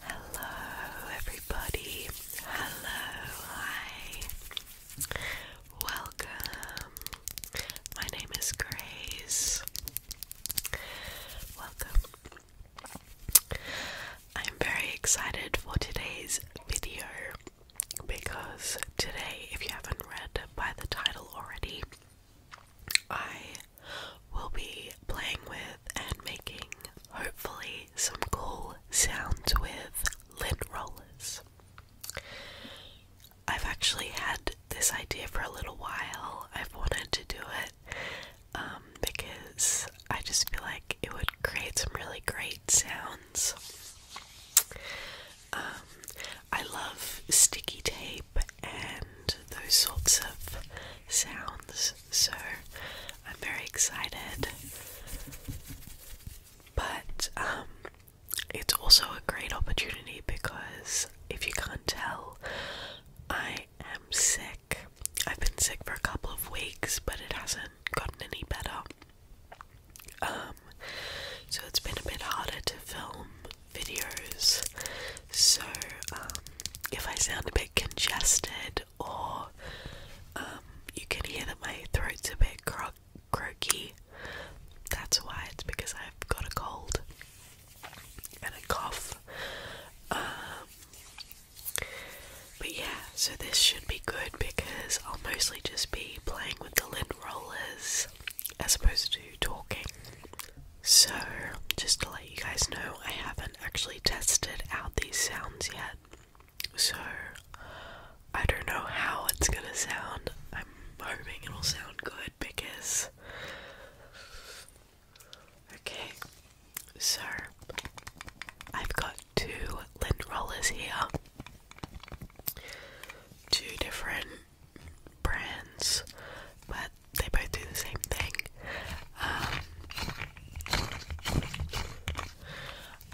Hello, everybody. Hello, hi. Welcome. My name is Grace. Welcome. I'm very excited for today's video because today, if you haven't read by the title already, I we will be playing with and making hopefully some cool sounds with lint rollers. I've actually had this idea for a little while. I've wanted to do it um, because I just feel like it would create some really great sounds. Um, I love sticky tape and those sorts of sounds. So I'm very excited. But um, it's also a great opportunity because if you can't tell, I am sick. I've been sick for a couple of weeks, but it hasn't gotten any better. Um, so it's been a bit harder to film videos. So, um, if I sound a bit congested or um, you can hear that my throat's a bit croaky, that's why it's because I've got a cold and a cough. Um, but yeah, so this should be good because I'll mostly just be playing with the lint rollers as opposed to talking. So, just to let you guys know, I haven't actually tested out these sounds yet. So, I don't know how it's gonna sound. I'm hoping it'll sound good because. Okay, so I've got two lint rollers here. Two different brands, but they both do the same thing. Um,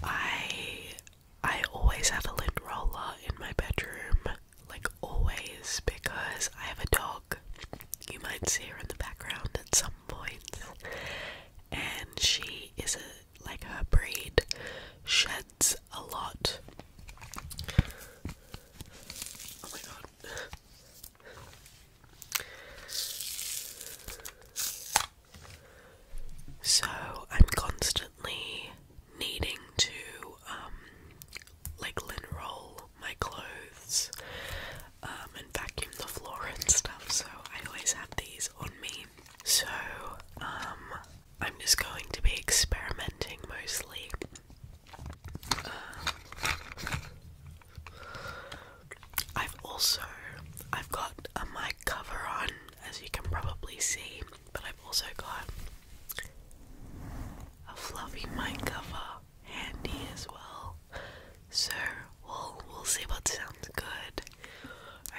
I I always have a lint roller in my bedroom, like always, because I have a dog. You might see her in the background at some point, and she is a like her breed sheds a lot. Oh my god, so I'm constantly needing to um like lint roll my clothes um, and vacuum the floor and stuff so I always have these on me. So um I'm just going to be experimenting mostly I've also I've got a mic cover on as you can probably see, but I've also got a fluffy mic cover handy as well. So we'll we'll see what sounds good.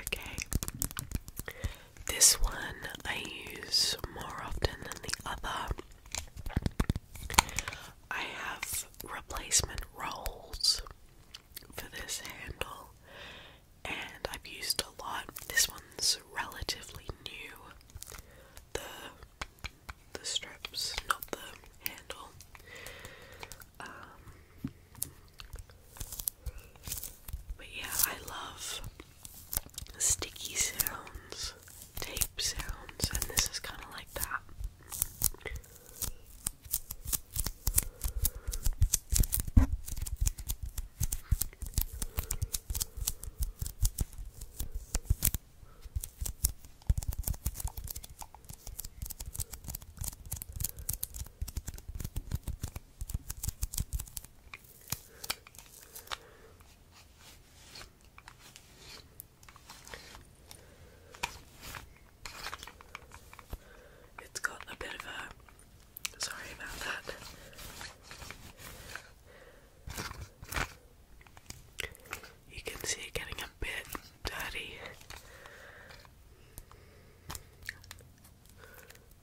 Okay. This one I use more often than the other I have replacement rolls for this handle, and I've used a lot. This one's relatively new. The the straps, not the handle. Um, but yeah, I love sticky sounds, tape sounds, and this is kind of like that. It's got a bit of a. Sorry about that. You can see it getting a bit dirty.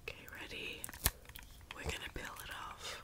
Okay, ready? We're gonna peel it off.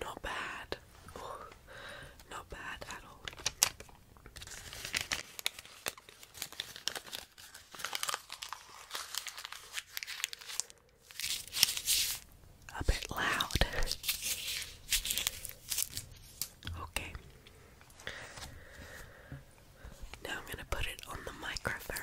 not bad. not bad at all. A bit loud. okay. Now I'm going to put it on the microphone.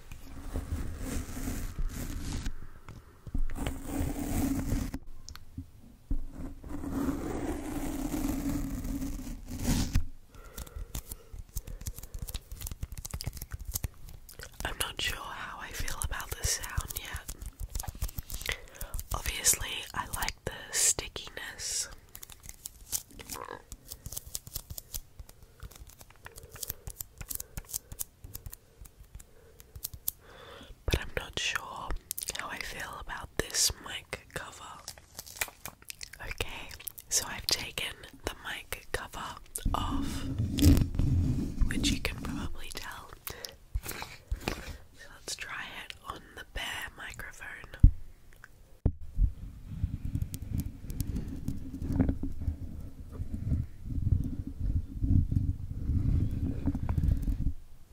I'm not sure how I feel about the sound yet. Obviously, I like the stickiness. But I'm not sure how I feel about this mic cover. Okay, so I've taken the mic cover off, which you can probably tell. So let's try it on the bare microphone.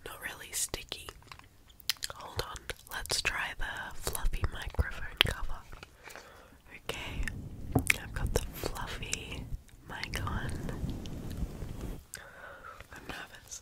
Not really sticky. Hold on, let's try the fluffy microphone cover. Okay, I've got the fluffy mic on. I'm nervous.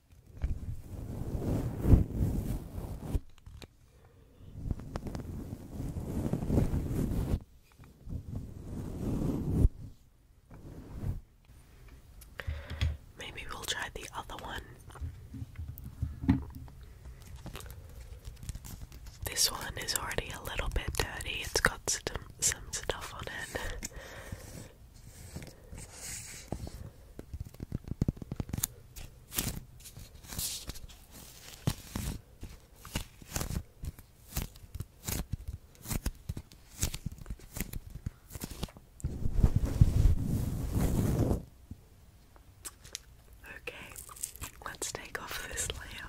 Maybe we'll try the other one. This one is already a little bit dirty. It's got some some stuff on it. Okay, let's take off this layer.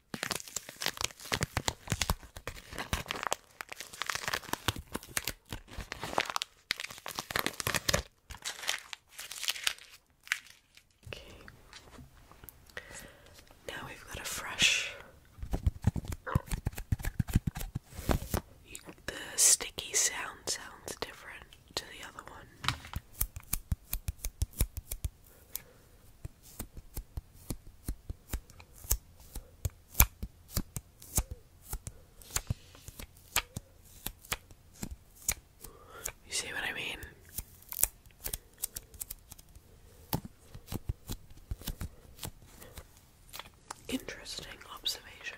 Now we've got a fresh. the sticky sound sounds different to the other one. You see what I mean? Interesting observation.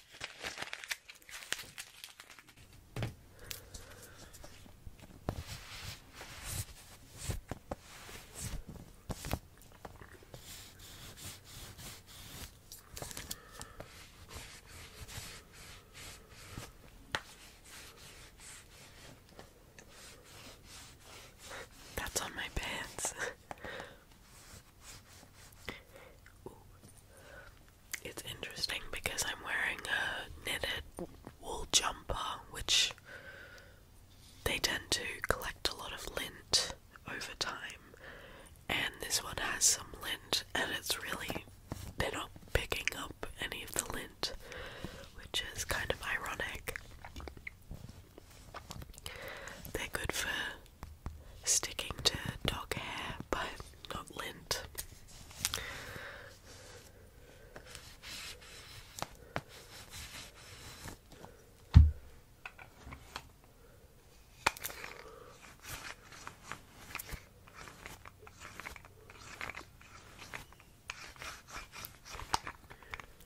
That's on my pants. It's interesting because I'm wearing a knitted wool jumper, which they tend to collect a lot of lint over time, and this one has some lint, and it's really they're not picking up any of the lint, which is kind of ironic. They're good for sticking to dog hair, but not lint.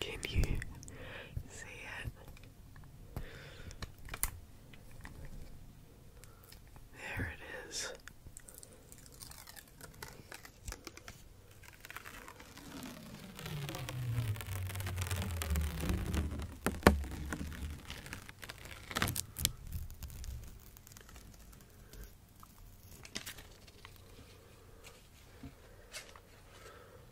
Can you see it? There it is.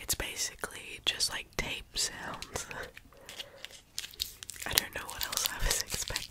It's basically just like tape sounds. I don't know what else I was expecting.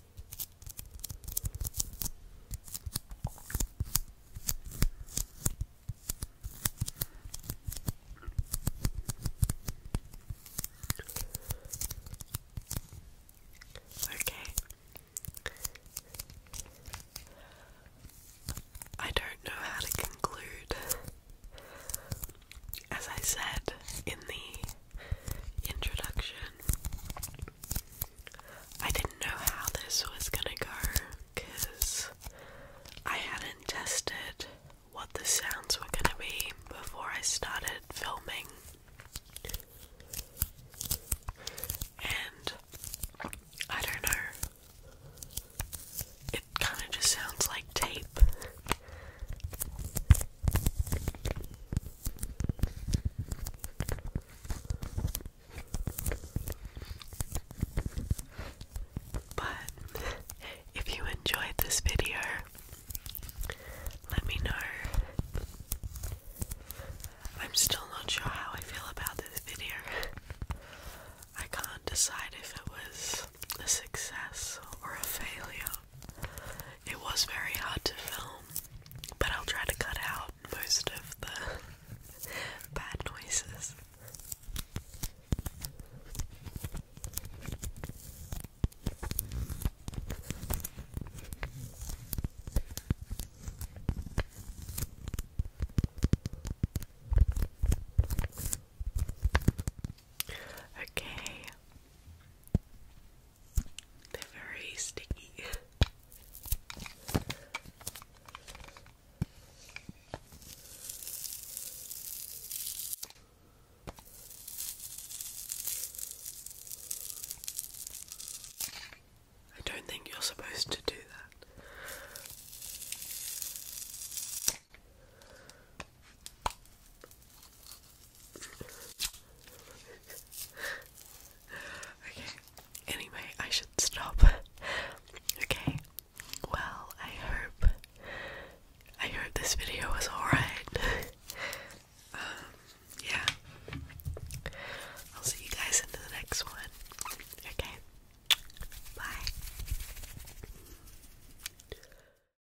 Okay. I don't know how to conclude. As I said in the introduction. I didn't know how this was gonna go because I hadn't tested what the sounds were gonna be before I started filming. And I don't know. It kind of just sounds like tape. But if you enjoyed this video, let me know. I'm still not sure how I feel about this video. I can't decide if it was a success or a failure. It was very hard to film, but I'll try to cut out most of the bad noises. Okay. They're very sticky. I don't think you're supposed to do that okay, anyway, I should stop. okay, well, I hope. I hope this video was alright. um, yeah. I'll see you guys in the next one. Okay. Bye.